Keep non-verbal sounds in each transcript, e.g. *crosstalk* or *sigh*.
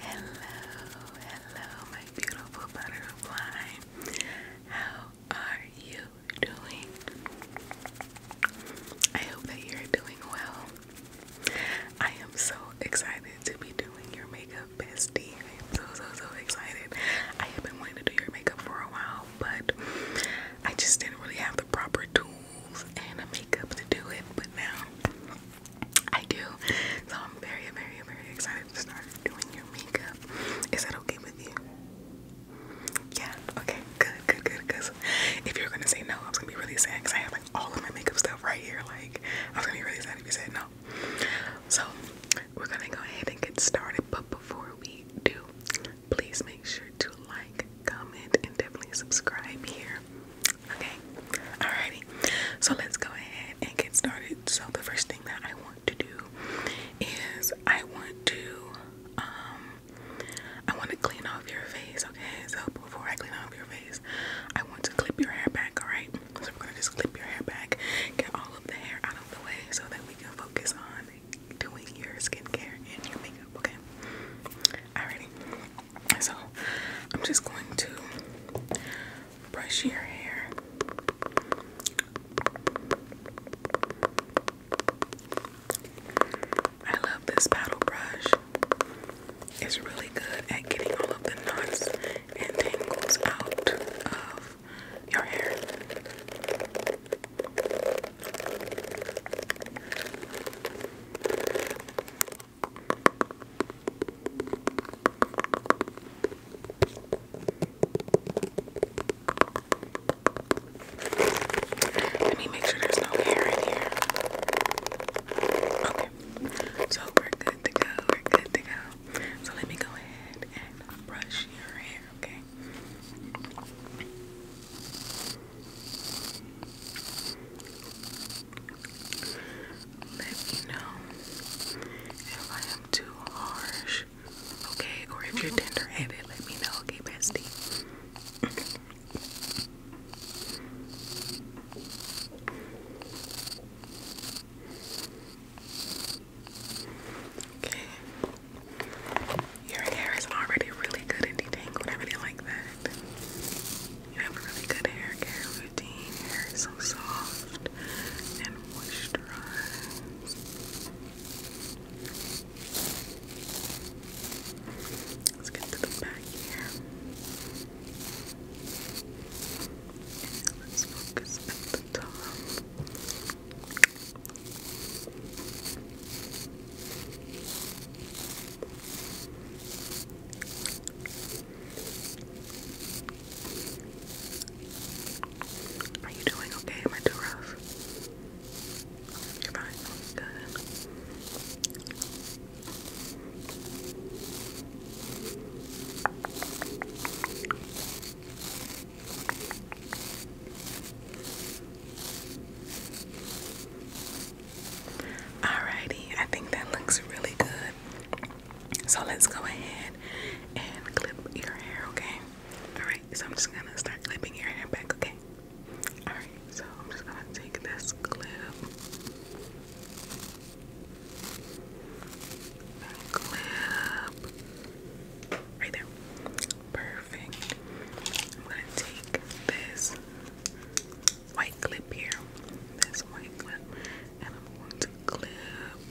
Hello, hello, my beautiful butterfly. How are you doing? I hope that you're doing well. I am so excited to be doing your makeup bestie. I'm so, so, so excited. I have been wanting to do your makeup for a while, but I just didn't really have the proper tools and a makeup to do it. But now I do. So I'm very, very, very excited to start doing your makeup. Is that okay with you? Yeah, okay, good, good, good. Because if you're gonna say no, I am gonna be really sad because I have like all of my makeup stuff right here. Like, I was gonna be really sad if you said no. So, we're gonna go ahead and get started. But before we do, please make sure to like, comment, and definitely subscribe here Okay, alrighty. So let's go ahead and get started. So the first thing that I want to do is I want to um I want to clean off your face. Okay, so before I clean off your face, I want to clip your hair back. Alright, so we're gonna just clip your hair back, get all of the hair out of the way, so that we can focus on doing your skincare and your makeup. Okay, alrighty. So I'm just going to brush your hair. I love this paddle brush. It's really good at getting all of the knots and tangles out of your hair. Let me make sure there's no hair in here. Okay, so we're good to go. We're good to go. So let me go ahead and brush your hair, okay? Let me know if I am too harsh, okay? Or if you're tender headed, let me know, okay, bestie? okay. Your hair is already really good and detangled. I really like that. You have a really good hair care routine. hair is so soft and moisturized. Let's get to the back here. let's focus at the top. Are you doing okay? Am I too rough? You're fine. Good. Alrighty, I think that looks really good. So let's go ahead and clip your hair, okay? Alright, so I'm just gonna start clipping your hair back, okay? Alright, so I'm just gonna take this clip. And clip. Right there. Perfect. I'm gonna take this white clip here. This white clip. And I'm going to clip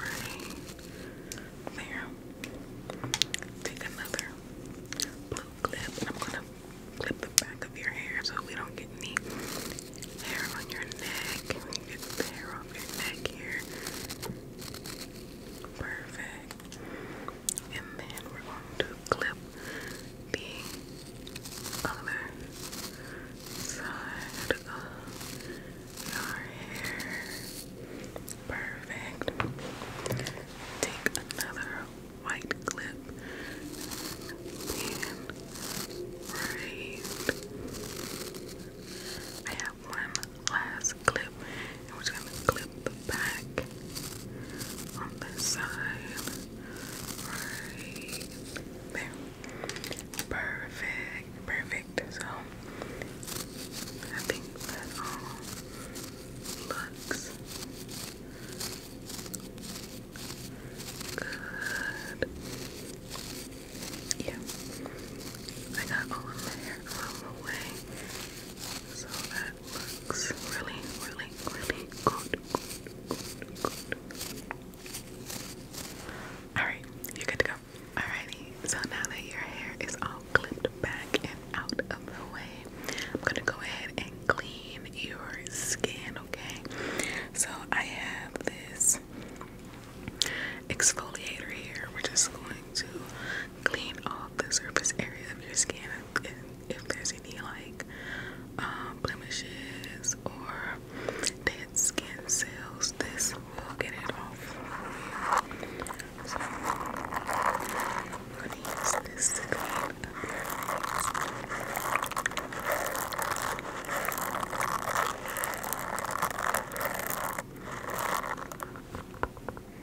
right there. Take another blue clip and I'm gonna clip the back of your hair so we don't get any hair on your neck. get the hair off your neck here. Perfect and then we're going to clip the other side of your hair. Perfect. Take another white clip and raise. I have one last clip and we're just gonna clip the back on the side. Right there. Perfect. Perfect. So I think that all looks good. Yeah. I got all of my hair out of the way so that looks really, really, really good. Alright, you're good to go. Alrighty, so now that your hair is all clipped back and out of the way, I'm gonna go ahead and clean your skin, okay? So I have this exfoliator here. We're just going to clean off the surface area of your skin if, there's any like uh, blemishes or dead skin cells. This will get it off. So I'm gonna use this to clean Alright,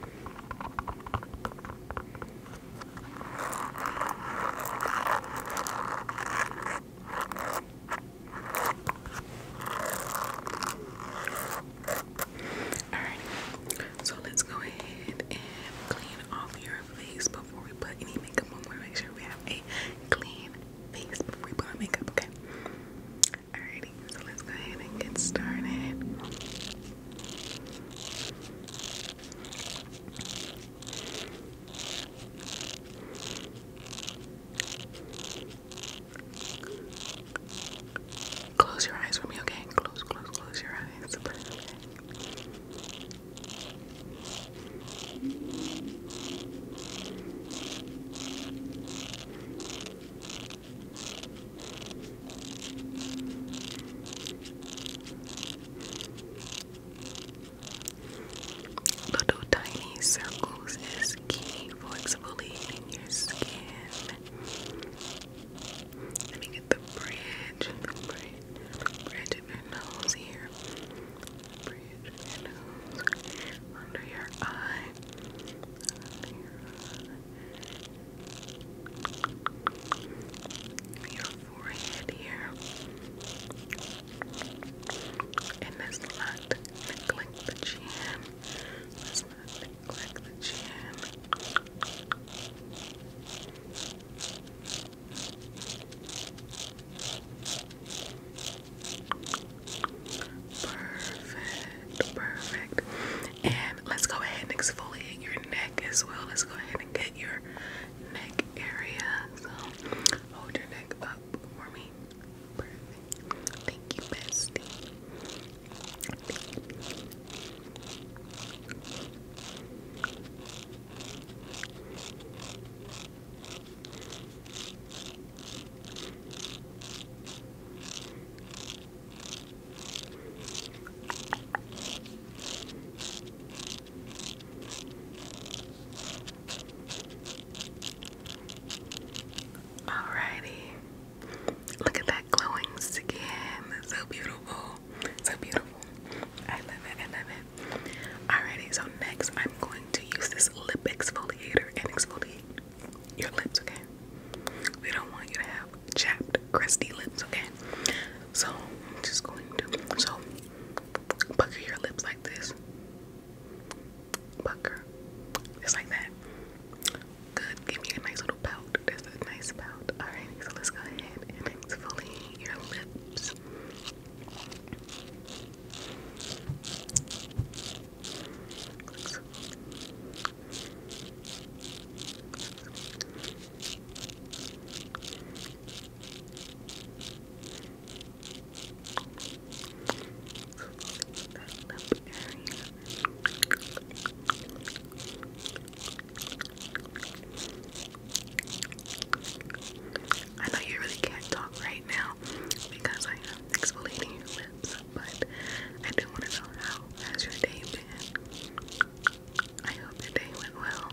so let's go ahead and clean off your face before we put any makeup on. We're make sure we have a clean face before we put on makeup, okay? All righty. so let's go ahead and get started. Close your eyes for me, okay? Close, close, close your eyes. Little tiny circles is key for exfoliating your skin. Let me get the bridge, bridge, bridge of your nose here. Bridge of your nose Under your eye your forehead here, and let's not neglect the chin. Let's not neglect the chin. Perfect, perfect. And let's go ahead and exfoliate your neck as well. Let's go ahead and get your neck area. So hold your neck up for me. Thank you, bestie. Alrighty. Look at that glowing skin. So beautiful. So beautiful. I love it. I love it. Alrighty, so next I'm going to use this lip exfoliator and exfoliate your lips, okay? We don't want you to have chapped, crusty lips, okay? So, I'm just going to, so, pucker your lips like this. Pucker. Just like that. Good. Give me a nice little pout. That's a nice pout. Alright, so let's go ahead and exfoliate your lips. I know you really can't talk right now because I am exfoliating your lips, but I do want to know how has your day been? I hope the went well.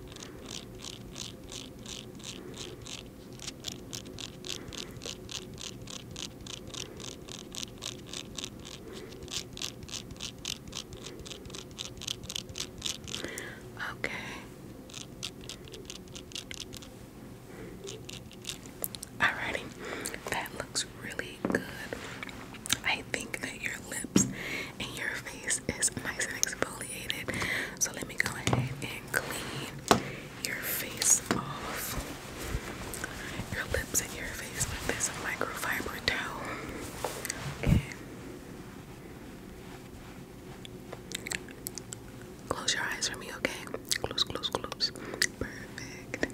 Okay. Alrighty, that looks really good. I think that your lips and your face is nice and exfoliated. So let me go ahead and clean your face off. Your lips and your face with this microfiber towel. Okay. Close your eyes for me, okay? Close, close, close. Perfect.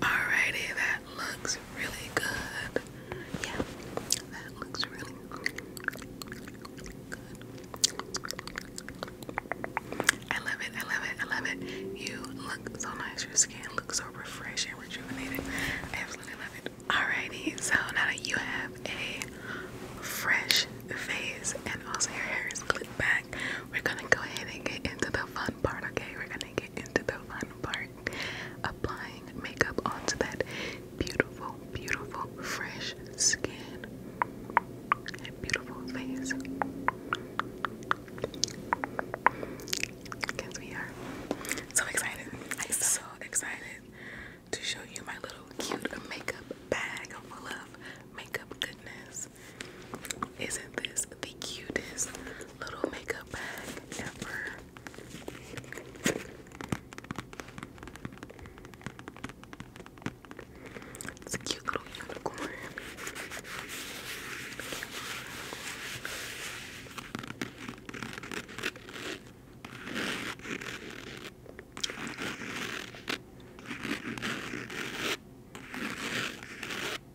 Alrighty, that looks really good. Yeah, that looks really good. I love it, I love it, I love it. You look so nice, your skin looks so refreshed and rejuvenated. absolutely love it. Alrighty, so now that you have a fresh face and also your hair is clipped back, we're gonna go ahead and get into the fun part, okay? We're gonna get into the fun part applying makeup onto that beautiful, beautiful, fresh skin beautiful face. Because we are so excited. I'm so excited to show you my little cute makeup bag full of makeup goodness. Isn't this the cutest little makeup bag ever. It's a cute little unicorn.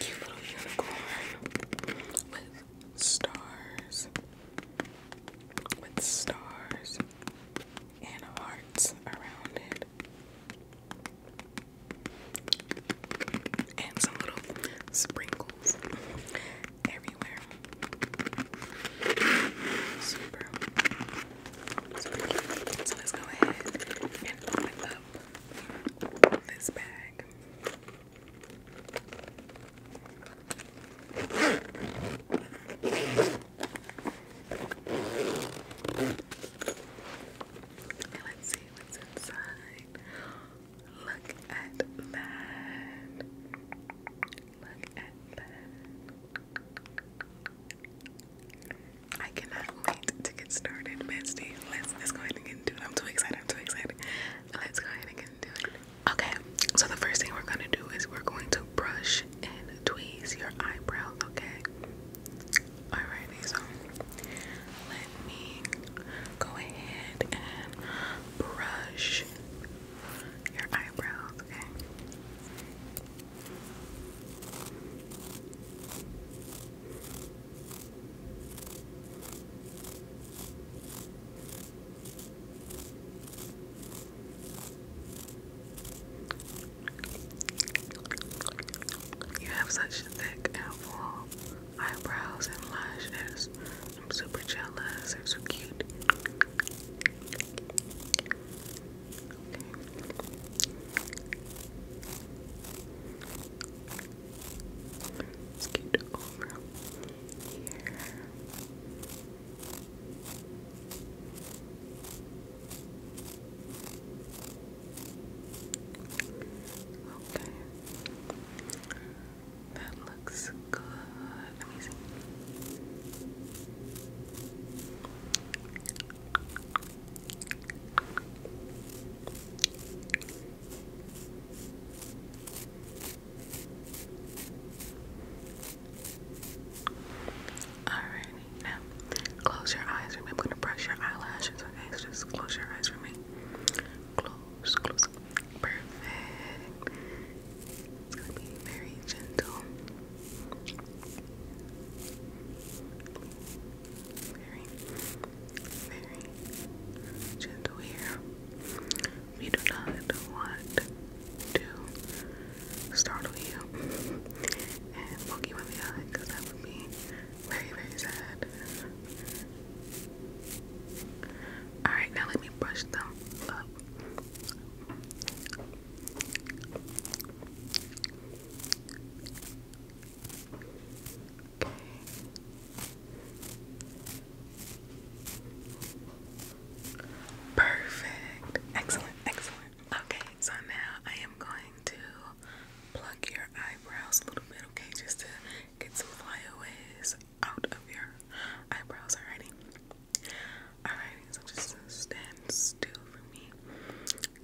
Cute little unicorn with stars, with stars and hearts around it, and some little sprinkles everywhere. Super. Super. So let's go ahead and open up this bag. let's see what's inside. Look at that. Look at that. I cannot wait to get started, bestie. Let's go ahead and get into it. I'm too excited. I'm too excited. Let's go ahead and get into it. Okay, so the first thing we're gonna do is we're going to brush and tweeze your eyebrow. Okay. All right. So let me go ahead and brush your eyebrows. Okay. You have such thick full eyebrows and lashes. I'm super jealous. They're so cute. Okay. Okay. That looks good. Amazing. Alright, now close your eyes for me. I'm gonna brush your eyelashes, okay? So just close your eyes for me. Close, close. Perfect. It's gonna be very gentle very, very gentle here. We do not want to startle you *laughs* and poke you in the eye because that would be very, very sad. Alright, now let me brush them up. Okay. Perfect. Excellent. Excellent. Okay, so now I am going to pluck your eyebrows a little bit, okay, just to get some flyaways out of your eyebrows already. Alrighty, so just stand still for me.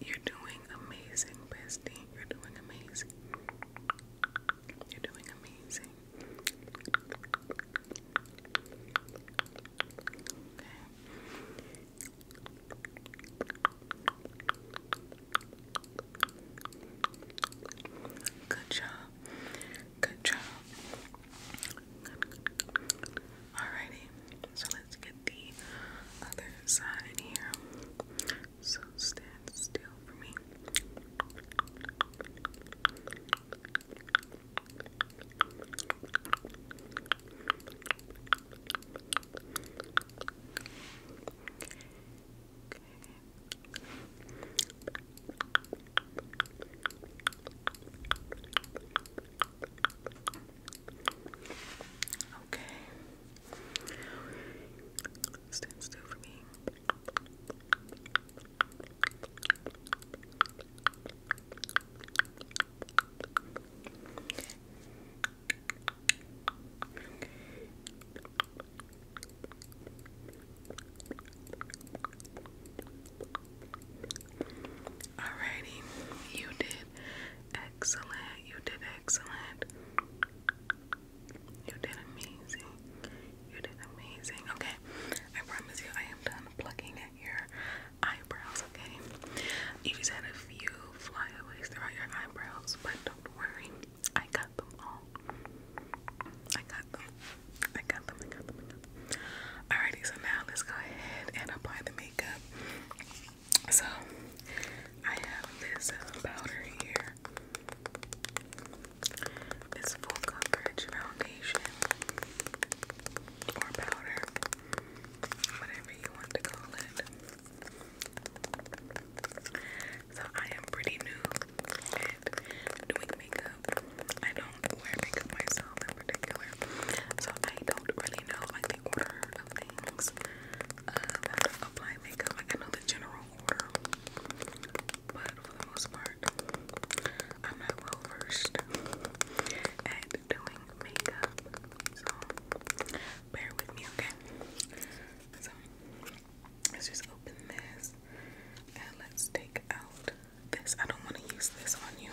You're doing amazing, bestie. You're doing amazing. You're doing amazing. Good job. Good job. Alrighty, so let's get the other side in here. So stand still for me. Okay. Stand still for me. Alrighty, you did excellent. You did excellent. You did amazing. You did amazing. Okay, I promise you, I am done plucking at your eyebrows. Okay, you just had a few flyaways throughout your eyebrows, but don't worry, I got them all. I got them. I got them, I got them, I got Alrighty, so now let's go ahead and apply the makeup. So I have this powder here. This full coverage foundation or powder, whatever you want to call it. So I am pretty new at doing makeup. I don't wear makeup myself in particular, so I don't really know like the order of things uh, apply makeup. I know the general order, but for the most part, I'm not well versed at doing makeup, so bear with me, okay? So let's just open this and let's take out this. I don't want to use this on you.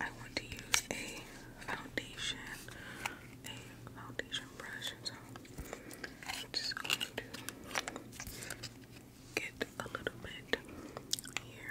I want to use a foundation, a foundation brush. So I'm just going to get a little bit here.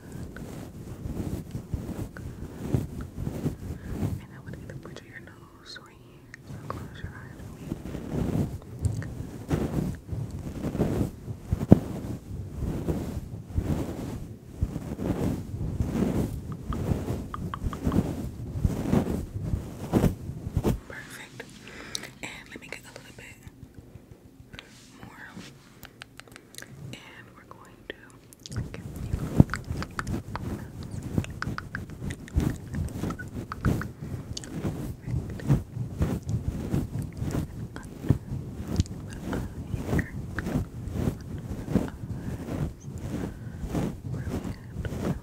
And I would either put your nose or here. So close your eyes Perfect. And let me get a little bit more. And we're going to give you Brilliant, brilliant,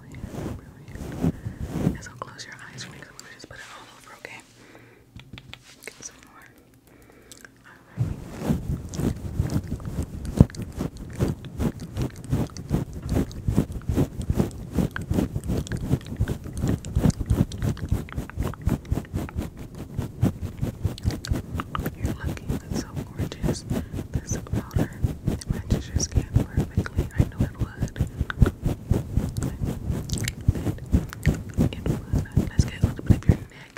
brilliant. And so close your eyes for me because I'm going to just put it all over, okay? Get some more. You're so gorgeous. This powder matches your skin perfectly. I know it would. Let's get a little bit of your neck.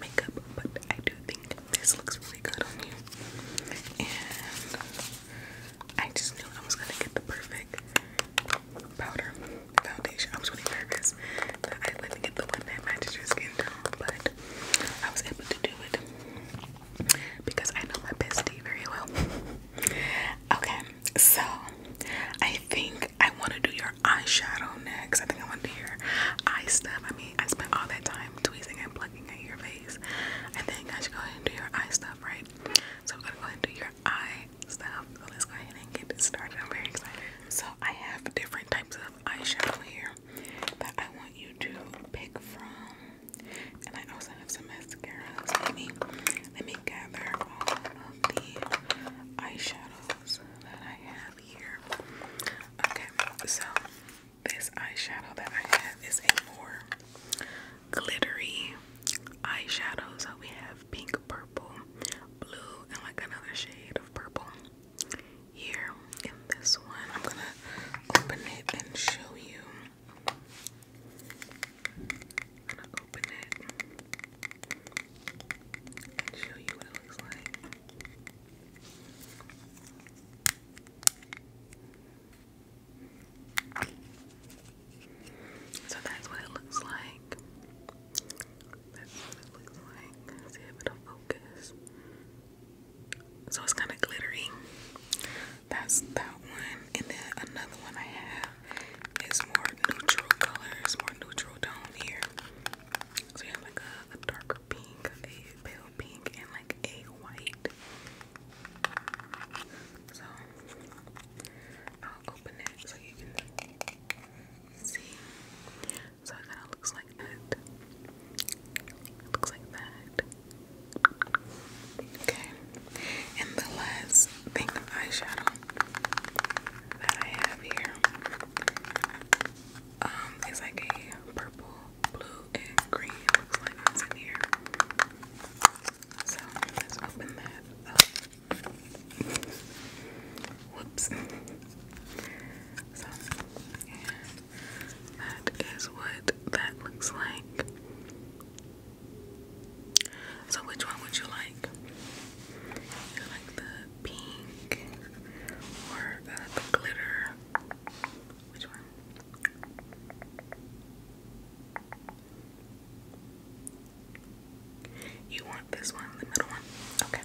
makeup, but I do think this looks really good on you. And I just knew I was gonna get the perfect powder foundation. I was really nervous that I wouldn't get the one that matches your skin tone, but I was able to do it because I know my bestie very well. *laughs* okay, so I think I want to do your eyeshadow next. I think I want to do your eye stuff. I mean, I spent all that time tweezing and plucking at your face. I think I should go ahead and do your eye stuff, right? So we're gonna go ahead and do your eye stuff. So let's go ahead and get started. I'm very excited. So I have different types of eyeshadow here that I want you to pick from. And I also have some mascaras. Let me let me gather all of the eyeshadows that I have here. Okay, so this eyeshadow that I have is a more glittery eyeshadows. That we have pink, purple, blue, and like another shade of purple here in this one. I'm gonna open it and show you and show you what it looks So that's what it looks like. That's what it looks like. see if it'll focus. So it's kind of glittery. That's that one. And then another one I have is more neutral colors, more neutral tone here. So you have like a, a pink, a pale pink, and like a white. So I'll open it so you can see. So it kind of looks like that. looks like that. Okay. And the last thing of eyeshadow that I have here um it's like a purple, blue, and green like what's in here. So let's open that up. Whoops. So that is what that looks like. So which one would you like? You like the pink or the glitter. Which one? You want this one, the middle one? Okay.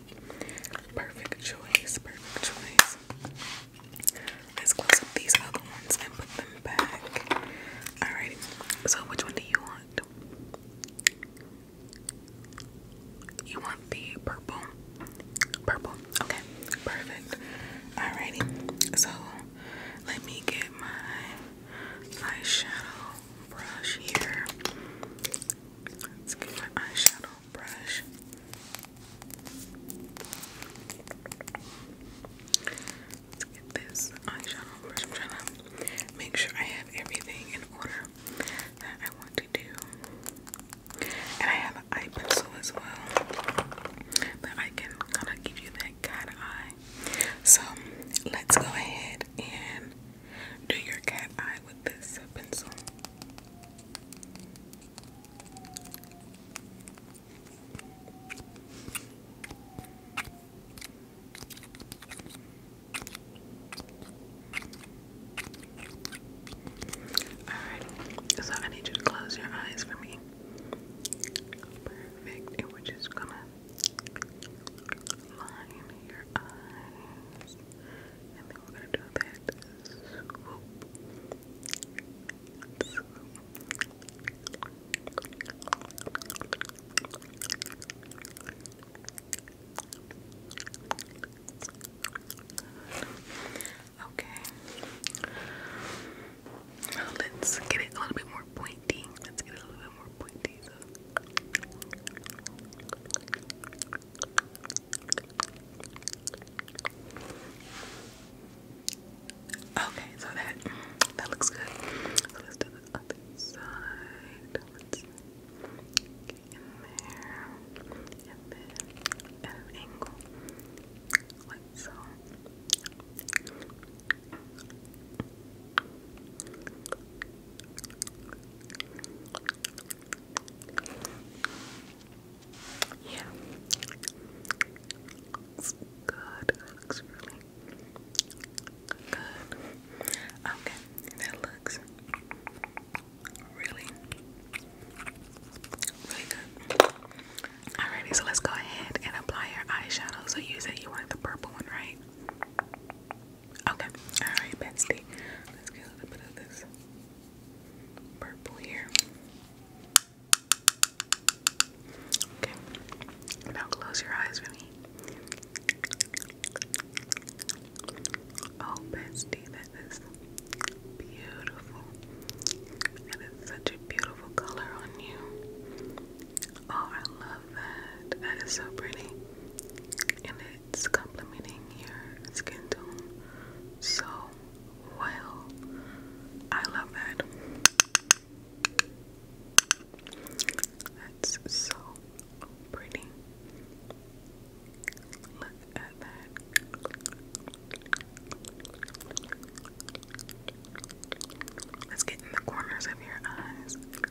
Perfect choice, perfect choice. Let's close up these other ones and put them back. Alrighty. So which one do you want? You want the purple? Purple. Okay, perfect. Alrighty. So let me get my eyeshadow brush here. Let's get my eyeshadow brush. Let's get this eyeshadow brush. make sure I have everything in order that I want to do. And I have an eye pencil as well. But I can kind of give you that kind eye. So let's go ahead and do your cat eye with this pencil. Alright, so I need you to close your eyes for me. Perfect. we're just gonna line your eyes. And then we're gonna do that Okay. let's get it a little bit more pointy. Let's get a little bit more pointy. Okay, so that that looks good. So let's do the other side in there, a bit at an angle, like so. Yeah, good. looks really Okay, that looks really, really good. Alrighty, so let's go ahead and apply your eyeshadow. So use said you wanted the purple one, right? Okay, alright, Betsy. Let's get a little bit of this purple here. Okay, now close your eyes for me. Oh, bestie, that is beautiful. That is such a beautiful color on you. Oh, I love that. That is so pretty. And it's complementing your skin tone so well. I love that. That's so pretty. Look at that. Let's get in the corners of your eyes. Perfect.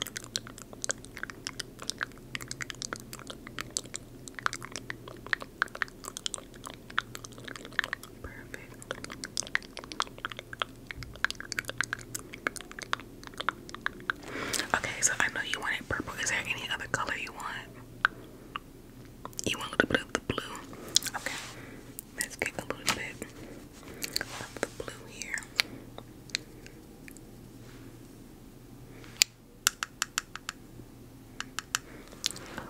Okay, so I know you wanted purple. Is there any other color you want? You want a little bit of the blue? Okay, let's get a little bit of the blue here.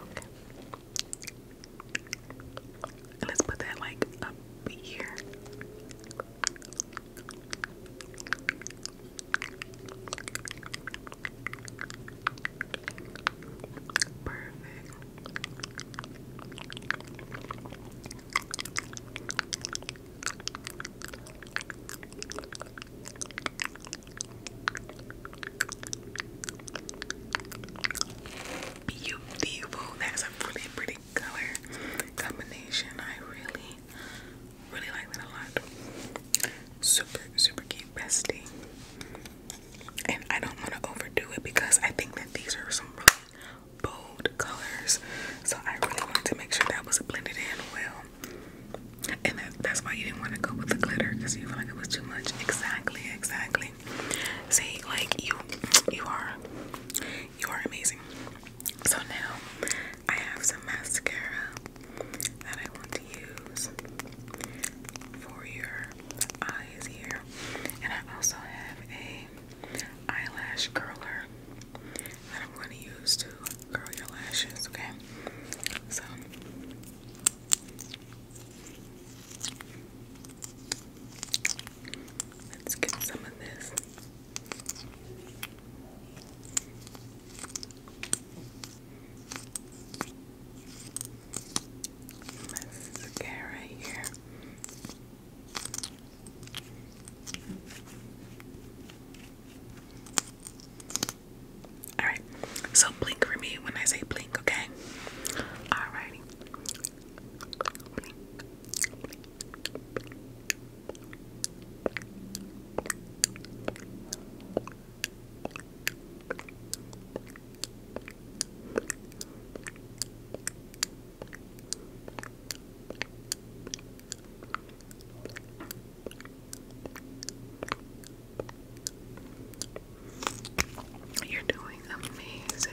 Okay. Let's put that like up here. Beautiful. That's a really pretty color combination. I really Really like that a lot. Super, super cute bestie. And I don't want to overdo it because I think that these are some really bold colors. So I really wanted to make sure that was blended in well. And that, that's why you didn't want to go with the glitter because you felt like it was too much. Exactly, exactly. See, like you, you are, you are amazing. So now I have some mascara that I want to use for your eyes here. And I also have a eyelash curler that I'm going to use to curl your lashes, okay? So let's get some of this Mascara here. Alright, so blink for me when I say blink, okay? Alrighty. You're doing amazing.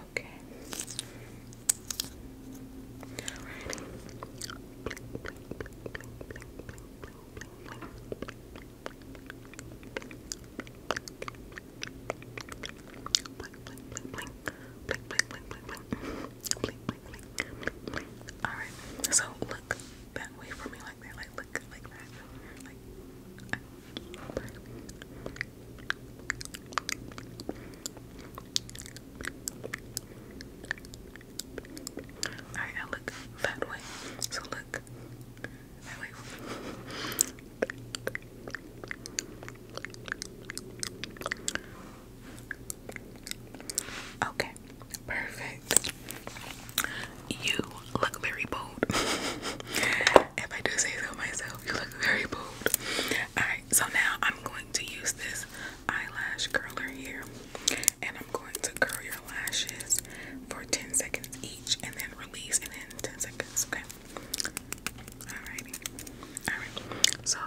Okay. Alright, so look that way for me like that, like look like that. Alright, look that way. So look that way. Okay, perfect. You look very bold. *laughs* if I do say so myself, you look very bold. Alright, so now I'm going to use this eyelash curler here and I'm going to curl your lashes for 10 seconds each and then release and then 10 seconds, okay? Alrighty. Alright, so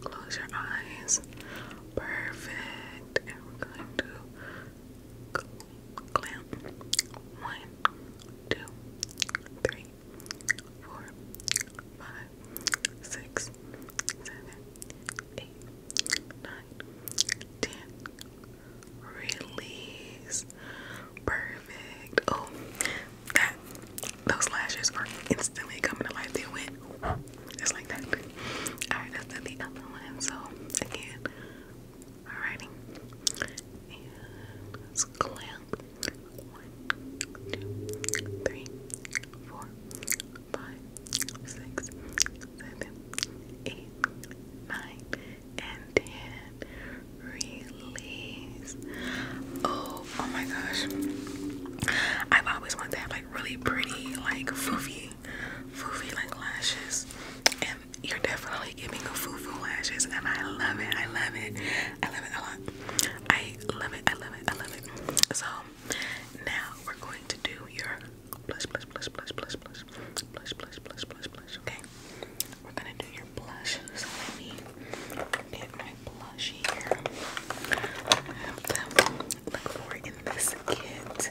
close your eyes. Perfect. And we're going to clamp. One, two, three, three, four, five, six, seven, eight, nine, ten. Release. Perfect. Oh, that those lashes are instantly coming to life. They went just like that. Alright, that's the other one. So again, Alrighty. let's clamp. One, two, three, four, five, six, seven, eight, nine, and ten. Release. Oh, oh my gosh. I've always wanted to have like really pretty, like foofy, foofy like lashes you're definitely giving me foo-foo lashes and I love it. I love it. I love it a lot. I love it. I love it. I love it. So now we're going to do your blush, blush, blush, blush, blush, blush, blush, blush, blush, blush, blush. Okay. We're gonna do your blush. let me get my blush here. I have to look for it in this kit.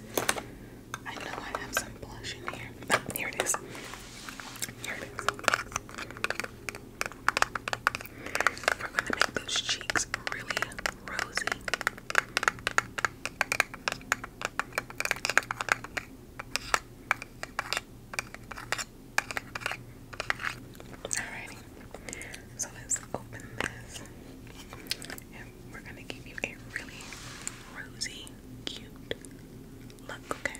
I know I have some blush in here. here it is. Here it is. We're going to make those cheeks really rosy. Alrighty, so let's open this and we're going to give you a really rosy, cute look, okay?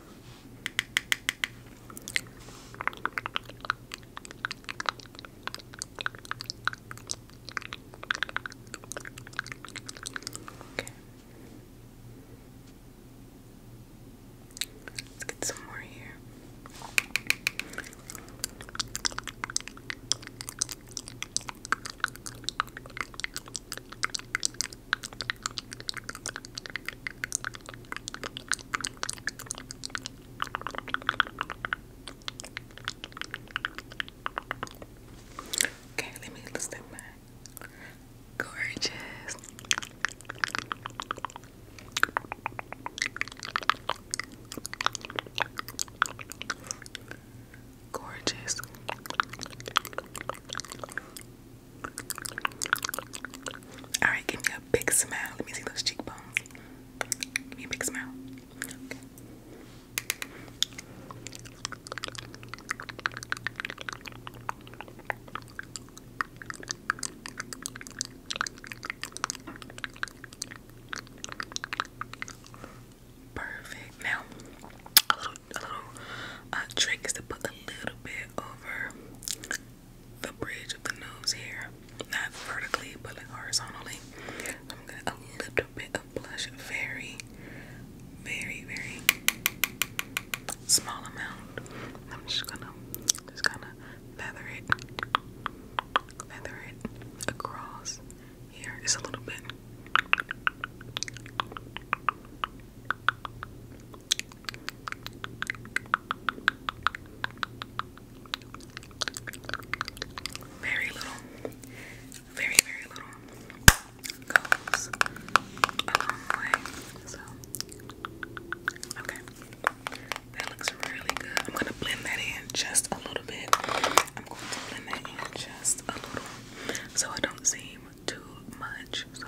Okay. Let's get some more here. Okay, let me look at gorgeous. Gorgeous all right, give me a big smile. Let me see those cheekbones. Give me a big smile. Perfect. Now, a little, a little uh, trick is to put a little bit over the bridge of the nose here, not vertically but like horizontally. I'm gonna a little bit of blush, very, very, very small amount. I'm just gonna just gonna feather it, feather it across Here is a little bit. Very little, very, very little okay, that looks really good. I'm gonna blend that in just a little bit. I'm going to blend that in just a little so it don't seem too much. So,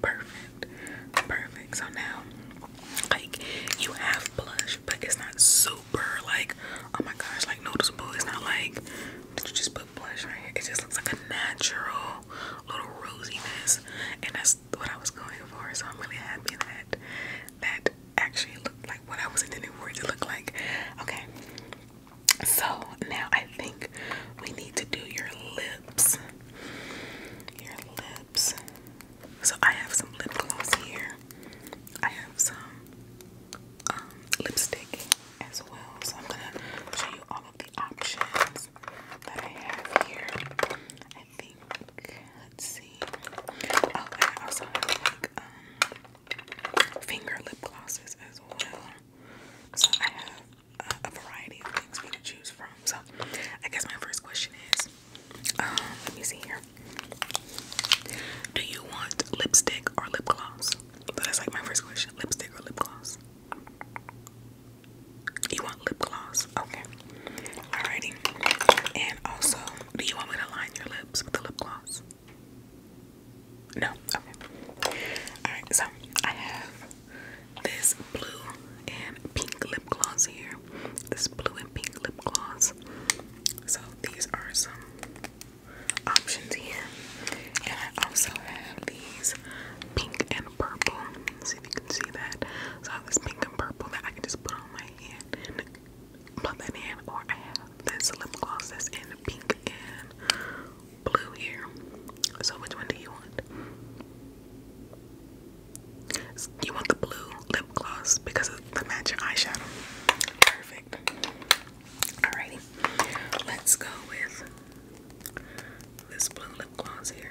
Perfect. Perfect. So now, like, you have blush, but it's not super, like, oh my gosh, like, noticeable. It's not like, did you just put blush right here? It just looks like a natural little rosiness. And that's what I was going for. So I'm really happy that that actually looked like what I was intending for it to look like. Okay. So now I think we need to do your lips. Your lips. So I have some lip gloss here. I have some um, lipstick as well. So I'm gonna show you all of the options that I have here. I think let's see. Oh, I also like um, finger lip glosses as well. So I have a, variety of things for you to choose from. So I guess my first question is, um, let me see here. Do you want lipstick or lip gloss? that's like my first question: lipstick or lip gloss? You want lip gloss? Okay. Alrighty. And also, do you want me to line your lips with the lip gloss? No, okay. Alright, so I have this blue and pink lip gloss here. This blue and pink lip gloss. So these are some options here. And I also have these pink and purple. see if you can see that. So I have this pink and purple that I can just put on my hand and that in. Or I have this lip gloss that's in pink and blue here. So which one do you want? You want the blue lip gloss because of the matching eyeshadow. Perfect. Alrighty. Let's go with this blue lip gloss here.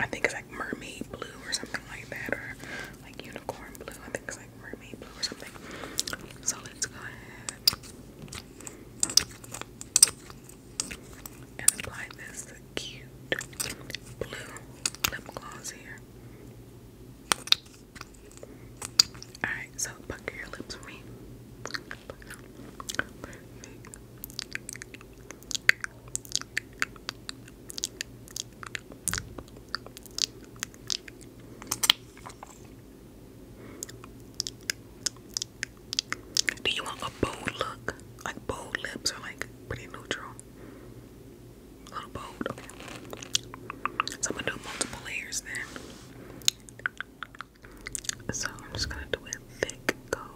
I think it's like mermaid blue or something like that, or like unicorn blue. I think it's like mermaid blue or something. So let's go ahead and apply this cute blue lip gloss here. Alright, so pucker your lips for me. Do you want a bold look? Like bold lips or like pretty neutral? A little bold, So I'm gonna do multiple layers then. So I'm just gonna do it thick coat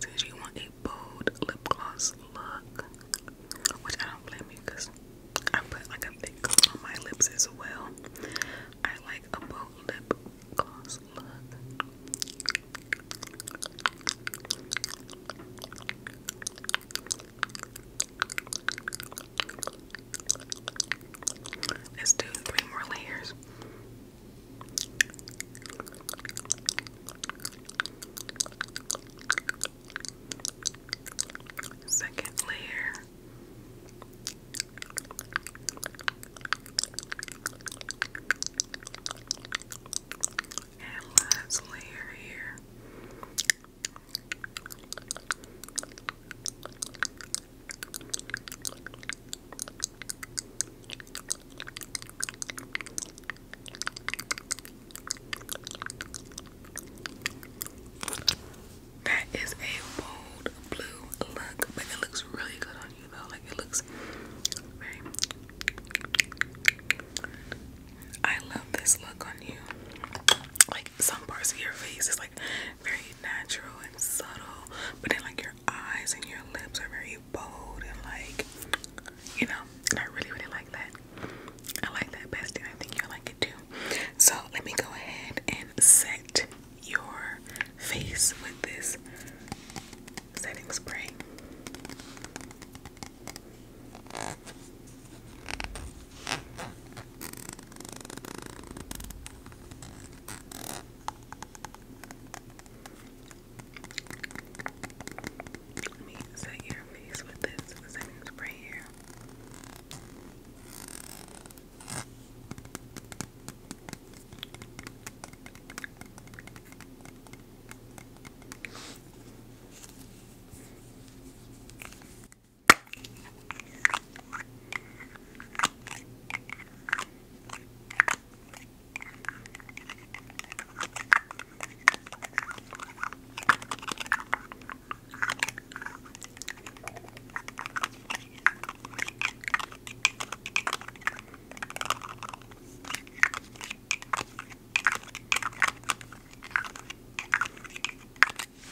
since you want a bold lip gloss look, which I don't blame you because I put like a thick coat on my lips as well. I like a bold lip gloss look. Let's do three more layers. Second layer. And last layer here. That is a bold blue look, but it looks really good on you though. Like it looks very. I love this look on you. Like some parts of your face is like very natural and subtle, but then like your eyes and your lips are very bold and like you know, and I really, really like that. I like that best, and I think you like it too. So, let me go ahead and set your face with this setting spray. Let me set your face with this setting spray here. Okay.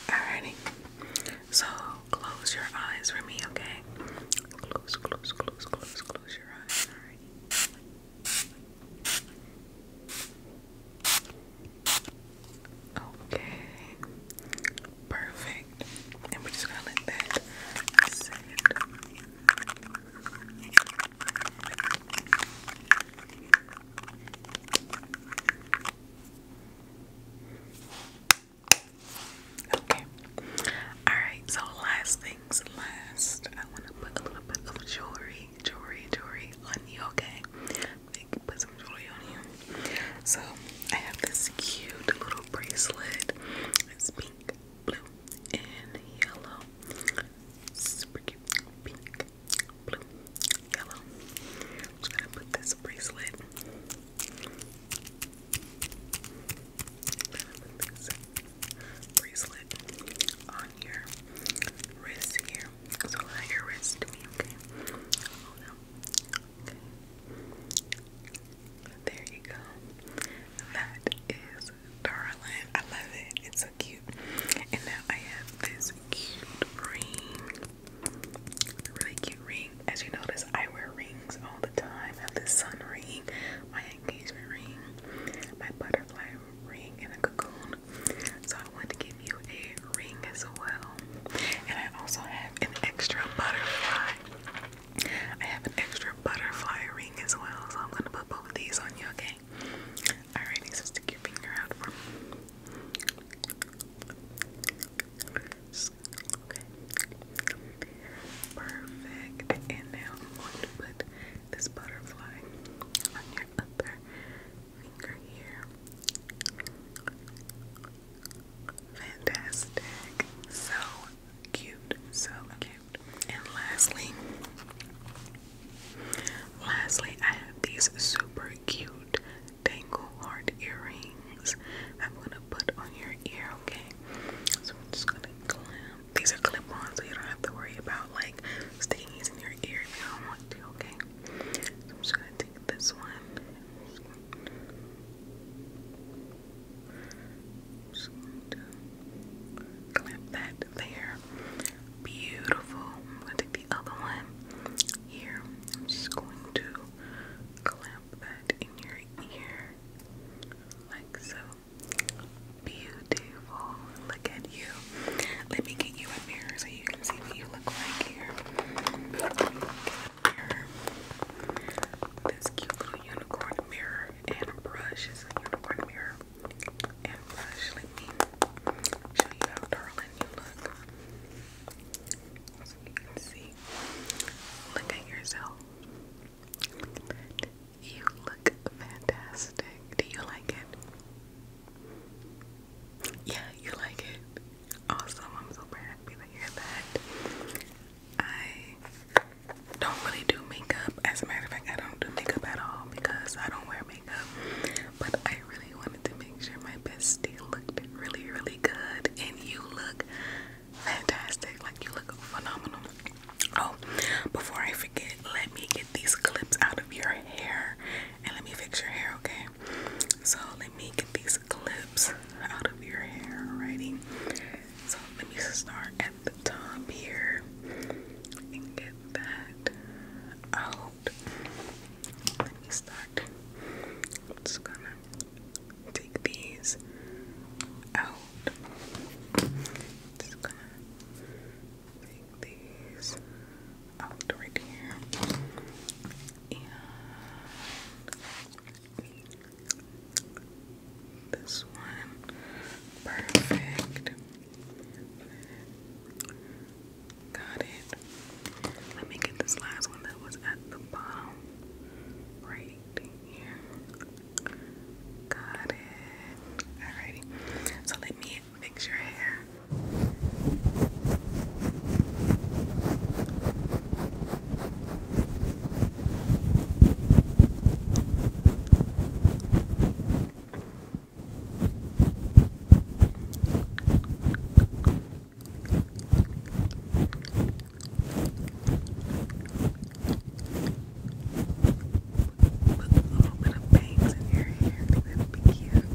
Alrighty, so close your eyes for me, okay? Close, close, close, close, close your eyes. Alrighty. Okay, perfect. And we're just gonna let that sit. Okay. All right. So last thing last, I want to put a little bit of jewelry, jewelry, jewelry on you, okay? Like, put some jewelry on you. So, I have this cute little bracelet. It's pink, blue, and yellow. Super cute. Pink, blue, yellow. I'm just gonna put this bracelet bracelet on your wrist here. So allow your wrist to me, oh, okay? There you go. That is darling. I love it. It's so cute. And now I have this cute ring. Really cute ring. As you notice, I wear rings all the time. I have this sun ring, my engagement ring, my butterfly ring, and a cocoon. So I wanted to give you a ring as well. And I also have an extra butterfly. I have an extra butterfly ring as well. So I'm gonna put both of these on you, okay? Alrighty, so stick your finger out for Perfect. And now I'm going to put this butterfly on your upper finger here. Fantastic. So cute. So cute. And lastly, lastly, I have these super cute dangle heart earrings. I'm gonna put on your ear, okay? So I'm just gonna clamp these are clip ons so you don't have to worry about like sticking these in your ear if you don't want to, okay? I'm just gonna take this one. just to clamp that there. Beautiful. I'm gonna take the other one here. I'm just going to clamp that in your ear like so. Beautiful. Look at you. Let me get you a mirror so you can see what you look like here. This cute little unicorn mirror and a brush is a unicorn mirror and brush. Let me show you how darling you look. So you can see. Look at yourself. You look fantastic. Do you like it? Yeah, you like it. Awesome. I'm super happy to hear that. I don't really do makeup. As a matter of fact, I don't do makeup at all because I don't wear makeup. But I really wanted to make sure my bestie looked really, really good. And you look fantastic. Like, you look phenomenal. Oh, before I forget, let me get these clips out of your hair and let me fix your hair, okay? So, let me get these clips out of your hair, alrighty? So, let me start at the top here and get that out. Let me start. just gonna take these out just gonna take these out right here and this one perfect got it let me get this last one that was at the bottom right here Got it. Alrighty. So let me fix your hair. Put a little bit of bangs in your hair, I think that would be cute.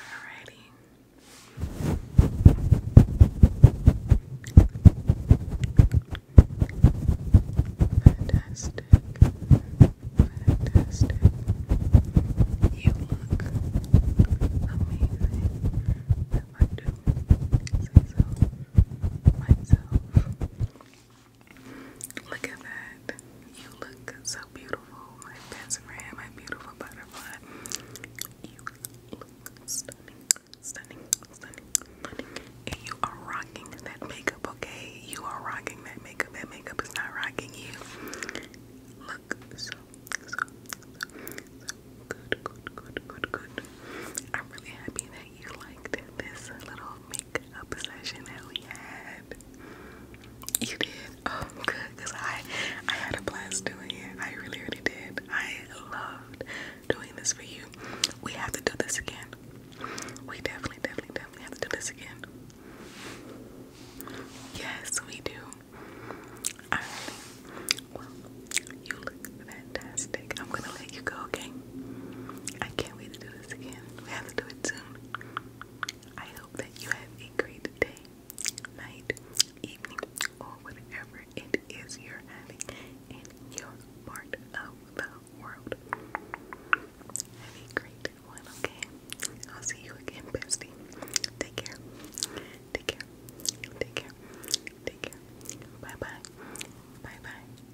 Alrighty. Fantastic. Fantastic. You look amazing. Look at that. You look so beautiful, my best friend, my beautiful butterfly. You look stunning, stunning, stunning, stunning. And you are rocking that makeup, okay? You are rocking that makeup. That makeup is not rocking you. Look so, so, so, good, good, good, good, good. I'm really happy that you liked this little makeup session that we had. You did? Oh, good, I, I had a blast doing it. I really, really did. I loved doing this for you. We have to do this again. We definitely, definitely, definitely have to do this again. Yes, we do. Alright. Well, you look fantastic. I'm gonna let you go, okay? I can't wait to do this again. We have to do it soon. I hope that you have a great day, night, evening, or whatever it is you're having in your part of the world. Have a great one, okay? I'll see you again, bestie. Take care. Take care. Take care. Take care. Bye bye. Bye bye.